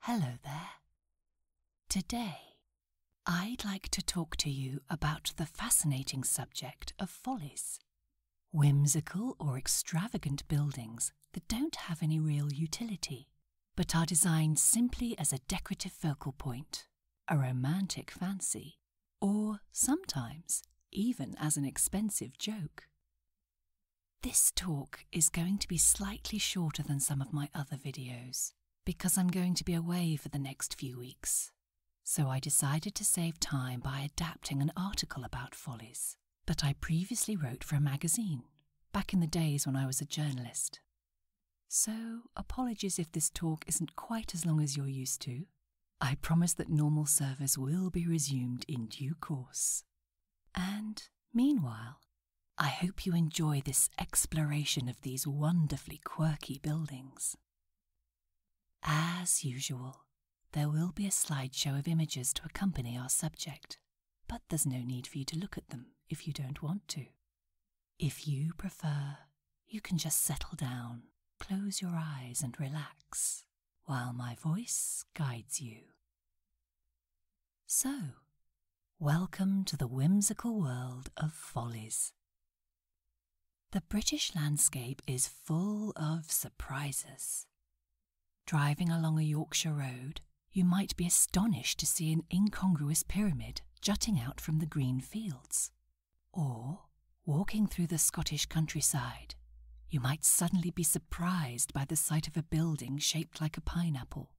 Hello there. Today, I'd like to talk to you about the fascinating subject of follies whimsical or extravagant buildings that don't have any real utility, but are designed simply as a decorative focal point, a romantic fancy, or sometimes even as an expensive joke. This talk is going to be slightly shorter than some of my other videos because I'm going to be away for the next few weeks. So I decided to save time by adapting an article about follies that I previously wrote for a magazine back in the days when I was a journalist. So, apologies if this talk isn't quite as long as you're used to. I promise that normal service will be resumed in due course. And meanwhile, I hope you enjoy this exploration of these wonderfully quirky buildings. As usual, there will be a slideshow of images to accompany our subject, but there's no need for you to look at them if you don't want to. If you prefer, you can just settle down, close your eyes, and relax while my voice guides you. So, welcome to the whimsical world of follies. The British landscape is full of surprises. Driving along a Yorkshire road, you might be astonished to see an incongruous pyramid jutting out from the green fields. Or, walking through the Scottish countryside, you might suddenly be surprised by the sight of a building shaped like a pineapple.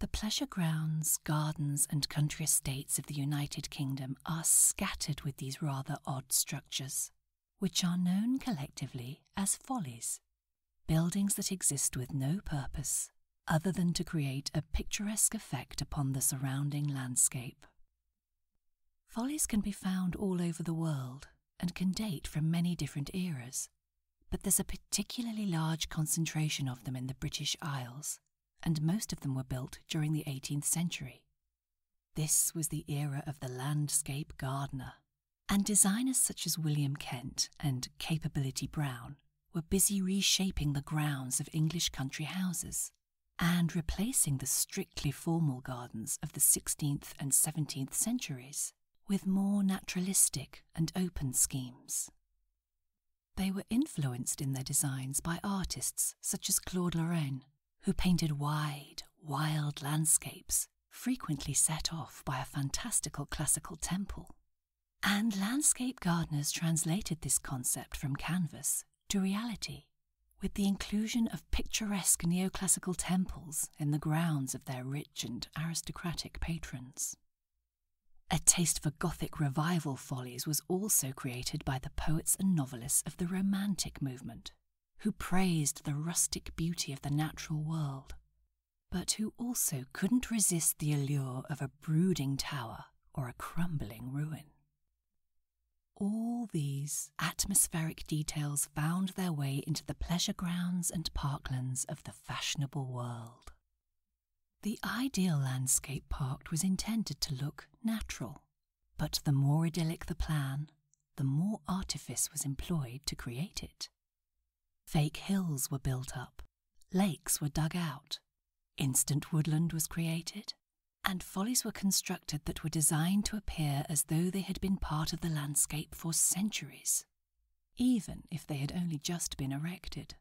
The pleasure grounds, gardens, and country estates of the United Kingdom are scattered with these rather odd structures, which are known collectively as follies buildings that exist with no purpose other than to create a picturesque effect upon the surrounding landscape. Follies can be found all over the world and can date from many different eras, but there's a particularly large concentration of them in the British Isles, and most of them were built during the 18th century. This was the era of the landscape gardener, and designers such as William Kent and Capability Brown were busy reshaping the grounds of English country houses and replacing the strict formal gardens of the 16th and 17th centuries with more naturalistic and open schemes. They were influenced in their designs by artists such as Claude Lorraine, who painted wide, wild landscapes, frequently set off by a fantastical classical temple. And landscape gardeners translated this concept from canvas to reality with the inclusion of picturesque neoclassical temples in the grounds of their rich and aristocratic patrons. A taste for Gothic revival follies was also created by the poets and novelists of the Romantic movement, who praised the rustic beauty of the natural world, but who also couldn't resist the allure of a brooding tower or a crumbling ruin. All these atmospheric details found their way into the pleasure grounds and parklands of the fashionable world. The ideal landscape park was intended to look natural, but the more idyllic the plan, the more artifice was employed to create it. Fake hills were built up, lakes were dug out, instant woodland was created, and follies were constructed that were designed to appear as though they had been part of the landscape for centuries, even if they had only just been erected.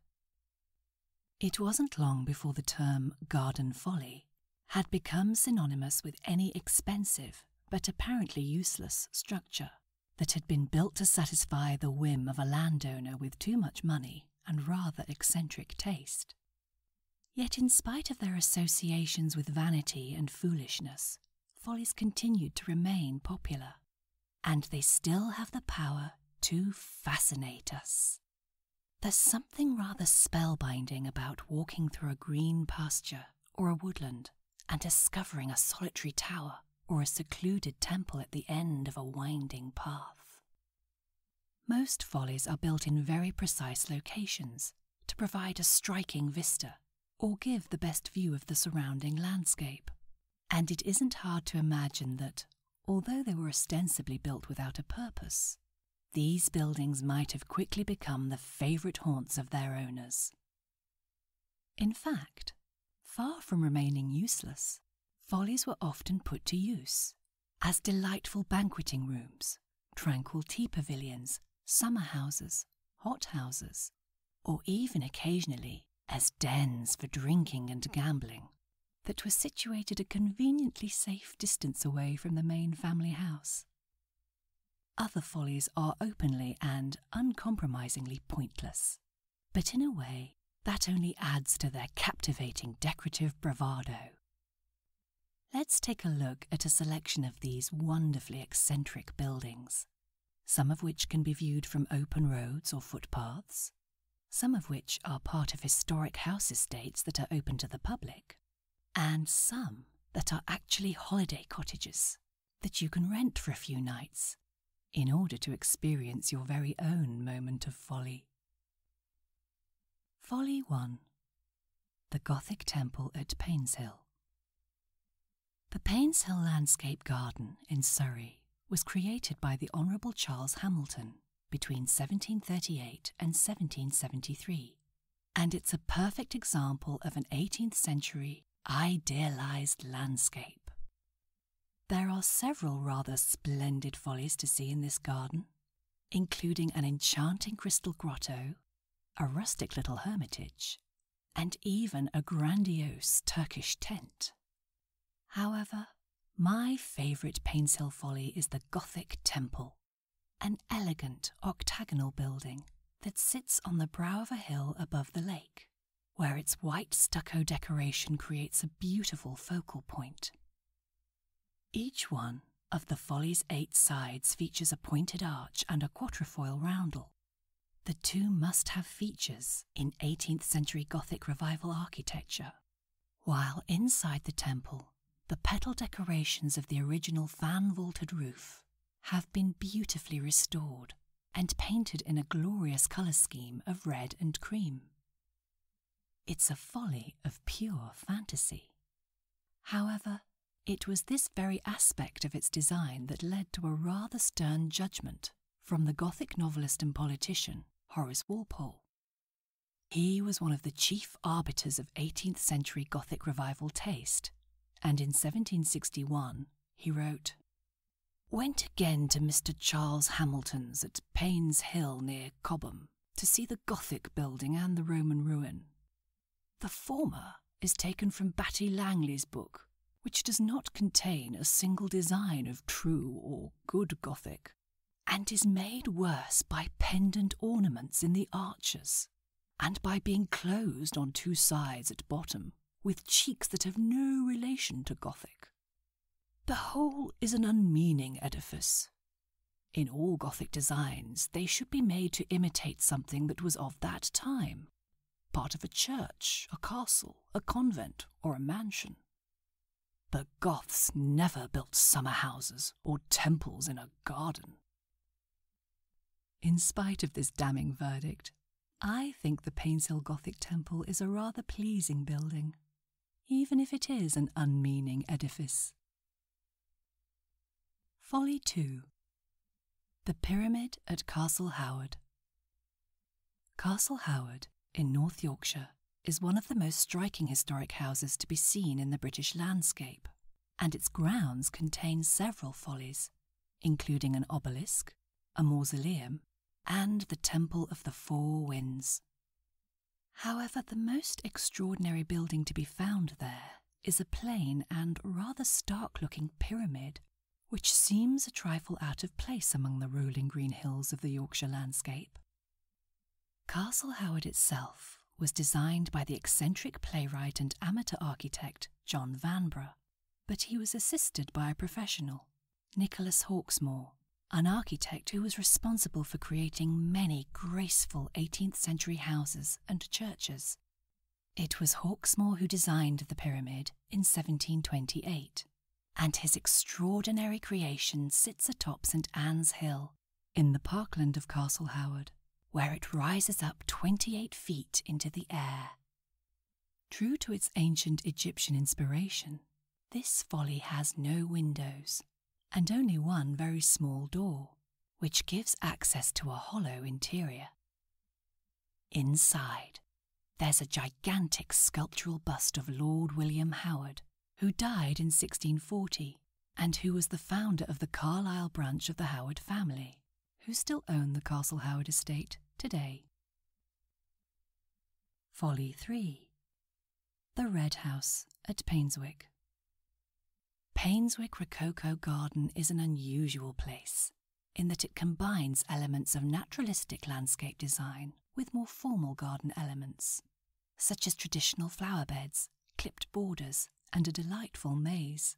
It wasn't long before the term garden folly had become synonymous with any expensive, but apparently useless, structure that had been built to satisfy the whim of a landowner with too much money and rather eccentric taste. Yet, in spite of their associations with vanity and foolishness, follies continued to remain popular, and they still have the power to fascinate us. There's something rather spellbinding about walking through a green pasture or a woodland and discovering a solitary tower or a secluded temple at the end of a winding path. Most follies are built in very precise locations to provide a striking vista or give the best view of the surrounding landscape. And it isn't hard to imagine that, although they were ostensibly built without a purpose, these buildings might have quickly become the favourite haunts of their owners. In fact, far from remaining useless, follies were often put to use as delightful banqueting rooms, tranquil tea pavilions, summer houses, hot houses, or even occasionally as dens for drinking and gambling, that were situated a conveniently safe distance away from the main family house. Other follies are openly and uncompromisingly pointless, but in a way that only adds to their captivating decorative bravado. Let's take a look at a selection of these wonderfully eccentric buildings, some of which can be viewed from open roads or footpaths, some of which are part of historic house estates that are open to the public, and some that are actually holiday cottages that you can rent for a few nights in order to experience your very own moment of folly. Folly 1 The Gothic Temple at Painshill. The Painshill Landscape Garden in Surrey was created by the Honourable Charles Hamilton between 1738 and 1773, and it's a perfect example of an 18th century idealised landscape. There are several rather splendid follies to see in this garden, including an enchanting crystal grotto, a rustic little hermitage, and even a grandiose Turkish tent. However, my favourite Painshill Hill Folly is the Gothic Temple, an elegant octagonal building that sits on the brow of a hill above the lake, where its white stucco decoration creates a beautiful focal point each one of the Folly's eight sides features a pointed arch and a quatrefoil roundel. The two must have features in 18th century Gothic Revival architecture, while inside the temple, the petal decorations of the original fan vaulted roof have been beautifully restored and painted in a glorious colour scheme of red and cream. It's a folly of pure fantasy. However, it was this very aspect of its design that led to a rather stern judgment from the Gothic novelist and politician Horace Walpole. He was one of the chief arbiters of 18th century Gothic revival taste, and in 1761 he wrote Went again to Mr. Charles Hamilton's at Payne's Hill near Cobham, to see the Gothic building and the Roman ruin. The former is taken from Batty Langley's book, which does not contain a single design of true or good Gothic, and is made worse by pendant ornaments in the arches, and by being closed on two sides at bottom, with cheeks that have no relation to Gothic. The whole is an unmeaning edifice. In all Gothic designs, they should be made to imitate something that was of that time part of a church, a castle, a convent, or a mansion. The Goths never built summer houses or temples in a garden. In spite of this damning verdict, I think the Painshill Gothic Temple is a rather pleasing building, even if it is an unmeaning edifice. Folly 2 The Pyramid at Castle Howard. Castle Howard, in North Yorkshire, is one of the most striking historic houses to be seen in the British landscape, and its grounds contain several follies, including an obelisk, a mausoleum, and the Temple of the Four Winds. However, the most extraordinary building to be found there is a plain and rather stark looking pyramid, which seems a trifle out of place among the rolling green hills of the Yorkshire landscape. Castle Howard itself was designed by the eccentric playwright and amateur architect John Vanbrugh, but he was assisted by a professional, Nicholas Hawksmoor, an architect who was responsible for creating many graceful 18th century houses and churches. It was Hawksmoor who designed the pyramid in 1728, and his extraordinary creation sits atop St Anne's Hill in the parkland of Castle Howard, where it rises up 28 feet into the air. True to its ancient Egyptian inspiration, this folly has no windows, and only one very small door, which gives access to a hollow interior. Inside, there's a gigantic sculptural bust of Lord William Howard, who died in 1640 and who was the founder of the Carlisle branch of the Howard family, who still own the Castle Howard estate today. Folly 3 The Red House at Painswick. Painswick Rococo Garden is an unusual place in that it combines elements of naturalistic landscape design with more formal garden elements, such as traditional flower beds, clipped borders, and a delightful maze.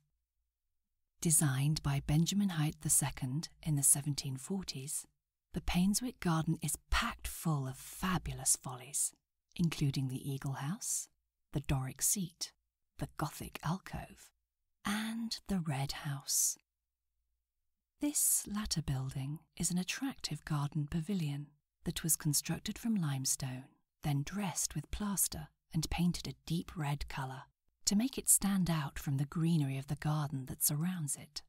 Designed by Benjamin Haidt II in the 1740s, the Painswick garden is packed full of fabulous follies, including the Eagle House, the Doric seat, the Gothic alcove, and the Red House. This latter building is an attractive garden pavilion that was constructed from limestone, then dressed with plaster and painted a deep red colour to make it stand out from the greenery of the garden that surrounds it.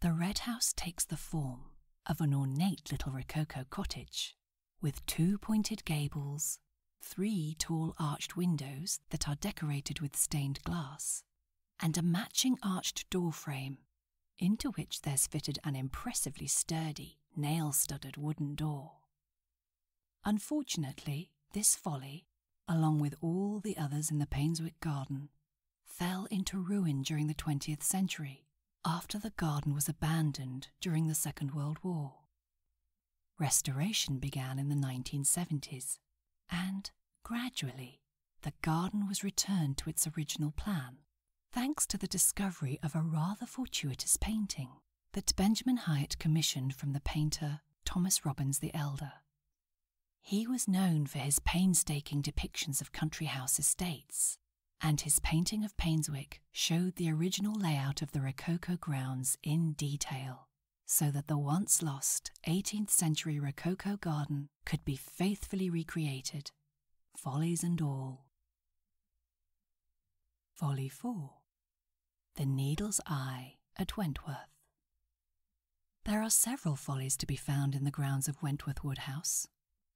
The red house takes the form of an ornate little rococo cottage with two pointed gables, three tall arched windows that are decorated with stained glass, and a matching arched door frame, into which there's fitted an impressively sturdy, nail studded wooden door. Unfortunately, this folly, along with all the others in the Painswick garden, fell into ruin during the 20th century after the garden was abandoned during the Second World War. Restoration began in the 1970s, and gradually the garden was returned to its original plan thanks to the discovery of a rather fortuitous painting that Benjamin Hyatt commissioned from the painter Thomas Robbins the Elder he was known for his painstaking depictions of country house estates, and his painting of Painswick showed the original layout of the Rococo grounds in detail, so that the once lost 18th century Rococo garden could be faithfully recreated, follies and all. Folly 4 The Needle's Eye at Wentworth. There are several follies to be found in the grounds of Wentworth Woodhouse,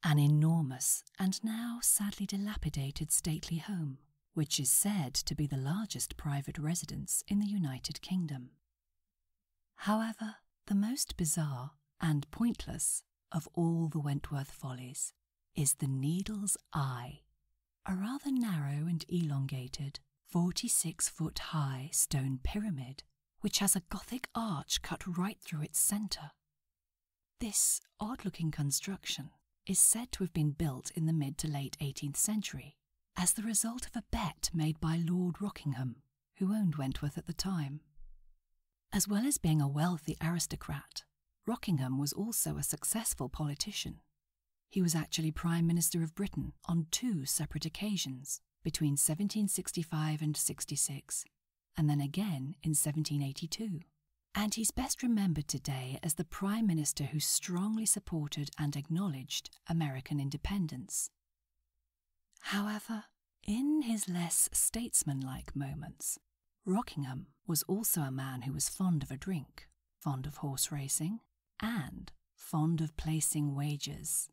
an enormous and now sadly dilapidated stately home, which is said to be the largest private residence in the United Kingdom. However, the most bizarre and pointless of all the Wentworth follies is the needle's eye, a rather narrow and elongated 46 foot high stone pyramid, which has a Gothic arch cut right through its centre. This odd looking construction is said to have been built in the mid to late 18th century as the result of a bet made by Lord Rockingham, who owned Wentworth at the time. As well as being a wealthy aristocrat, Rockingham was also a successful politician. He was actually Prime Minister of Britain on two separate occasions between 1765 and 66, and then again in 1782. And he's best remembered today as the Prime Minister who strongly supported and acknowledged American independence. However, in his less statesmanlike moments, Rockingham was also a man who was fond of a drink, fond of horse racing, and fond of placing wagers.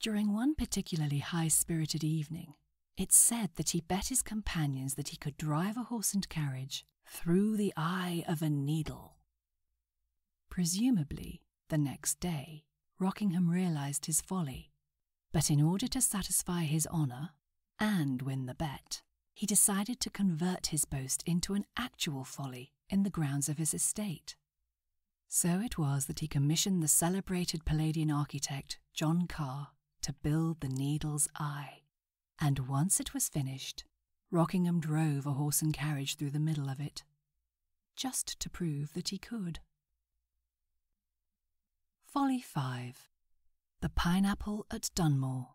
During one particularly high spirited evening, it is said that he bet his companions that he could drive a horse and carriage through the eye of a needle. Presumably, the next day, Rockingham realized his folly, but in order to satisfy his honor and win the bet, he decided to convert his boast into an actual folly in the grounds of his estate. So it was that he commissioned the celebrated Palladian architect John Carr to build the Needle's Eye, and once it was finished, Rockingham drove a horse and carriage through the middle of it, just to prove that he could. Folly 5 The Pineapple at Dunmore.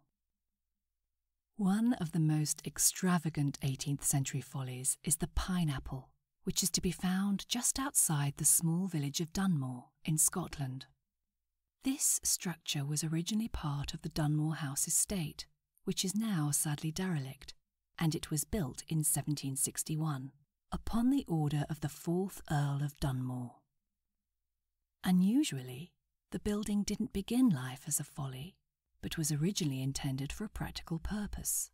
One of the most extravagant 18th century follies is the pineapple, which is to be found just outside the small village of Dunmore in Scotland. This structure was originally part of the Dunmore House estate, which is now sadly derelict, and it was built in 1761 upon the order of the fourth Earl of Dunmore. Unusually, the building didn't begin life as a folly, but was originally intended for a practical purpose.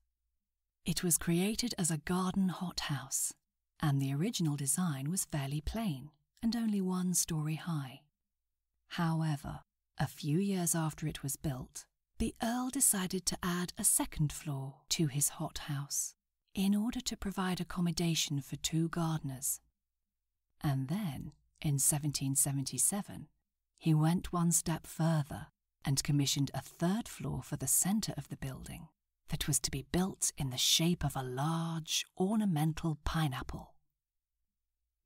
It was created as a garden hothouse, and the original design was fairly plain and only one story high. However, a few years after it was built, the Earl decided to add a second floor to his hothouse in order to provide accommodation for two gardeners, and then, in 1777, he went one step further and commissioned a third floor for the centre of the building that was to be built in the shape of a large ornamental pineapple.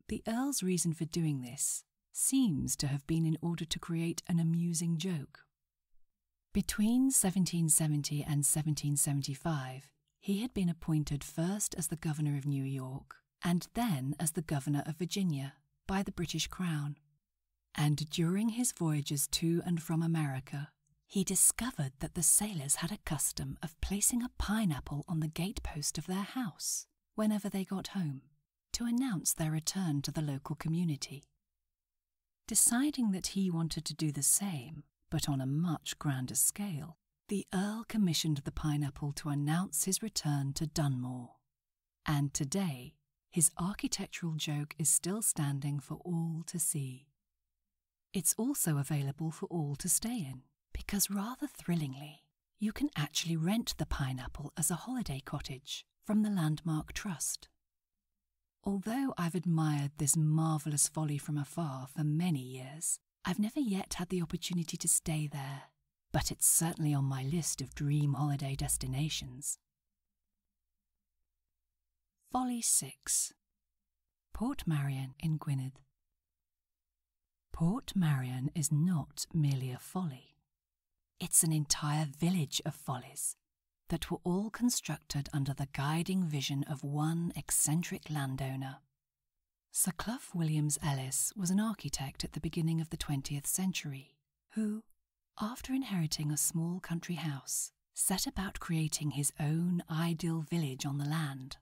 The Earl's reason for doing this seems to have been in order to create an amusing joke. Between 1770 and 1775, he had been appointed first as the governor of New York and then as the governor of Virginia by the British Crown. And during his voyages to and from America, he discovered that the sailors had a custom of placing a pineapple on the gatepost of their house whenever they got home to announce their return to the local community. Deciding that he wanted to do the same, but on a much grander scale, the Earl commissioned the Pineapple to announce his return to Dunmore. And today, his architectural joke is still standing for all to see. It's also available for all to stay in, because rather thrillingly, you can actually rent the Pineapple as a holiday cottage from the Landmark Trust. Although I've admired this marvellous folly from afar for many years, I've never yet had the opportunity to stay there, but it's certainly on my list of dream holiday destinations. Folly 6 Port Marion in Gwynedd. Port Marion is not merely a folly, it's an entire village of follies that were all constructed under the guiding vision of one eccentric landowner. Sir Clough Williams Ellis was an architect at the beginning of the 20th century who, after inheriting a small country house, set about creating his own ideal village on the land.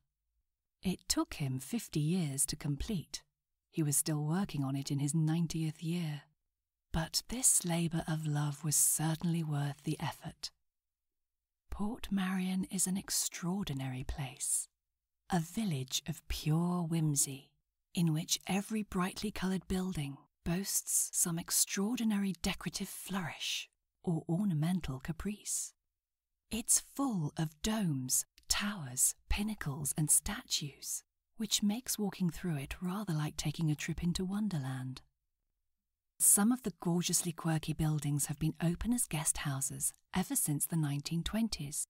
It took him 50 years to complete. He was still working on it in his 90th year. But this labour of love was certainly worth the effort. Port Marion is an extraordinary place, a village of pure whimsy, in which every brightly coloured building boasts some extraordinary decorative flourish or ornamental caprice. It's full of domes, towers, pinnacles, and statues, which makes walking through it rather like taking a trip into Wonderland. Some of the gorgeously quirky buildings have been open as guest houses ever since the 1920s,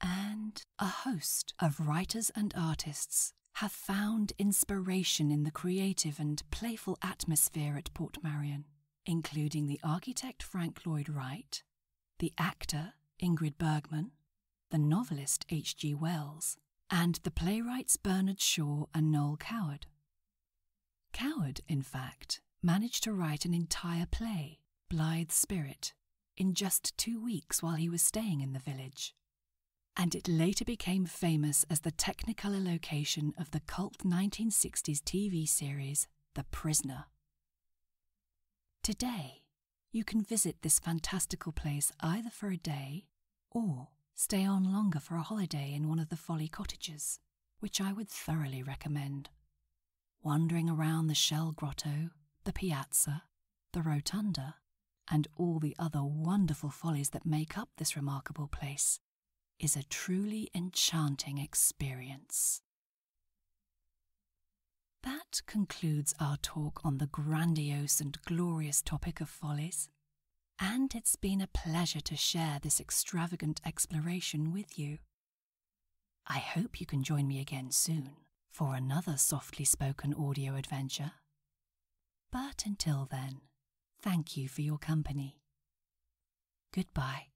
and a host of writers and artists have found inspiration in the creative and playful atmosphere at Port Marion, including the architect Frank Lloyd Wright, the actor Ingrid Bergman, the novelist H.G. Wells, and the playwrights Bernard Shaw and Noel Coward. Coward, in fact, managed to write an entire play, *Blythe Spirit, in just two weeks while he was staying in the village. And it later became famous as the Technicolor location of the cult 1960s TV series The Prisoner. Today, you can visit this fantastical place either for a day or stay on longer for a holiday in one of the Folly cottages which I would thoroughly recommend. Wandering around the shell grotto, the piazza, the rotunda, and all the other wonderful follies that make up this remarkable place is a truly enchanting experience. That concludes our talk on the grandiose and glorious topic of follies and it's been a pleasure to share this extravagant exploration with you. I hope you can join me again soon for another softly spoken audio adventure. But until then, thank you for your company. Goodbye.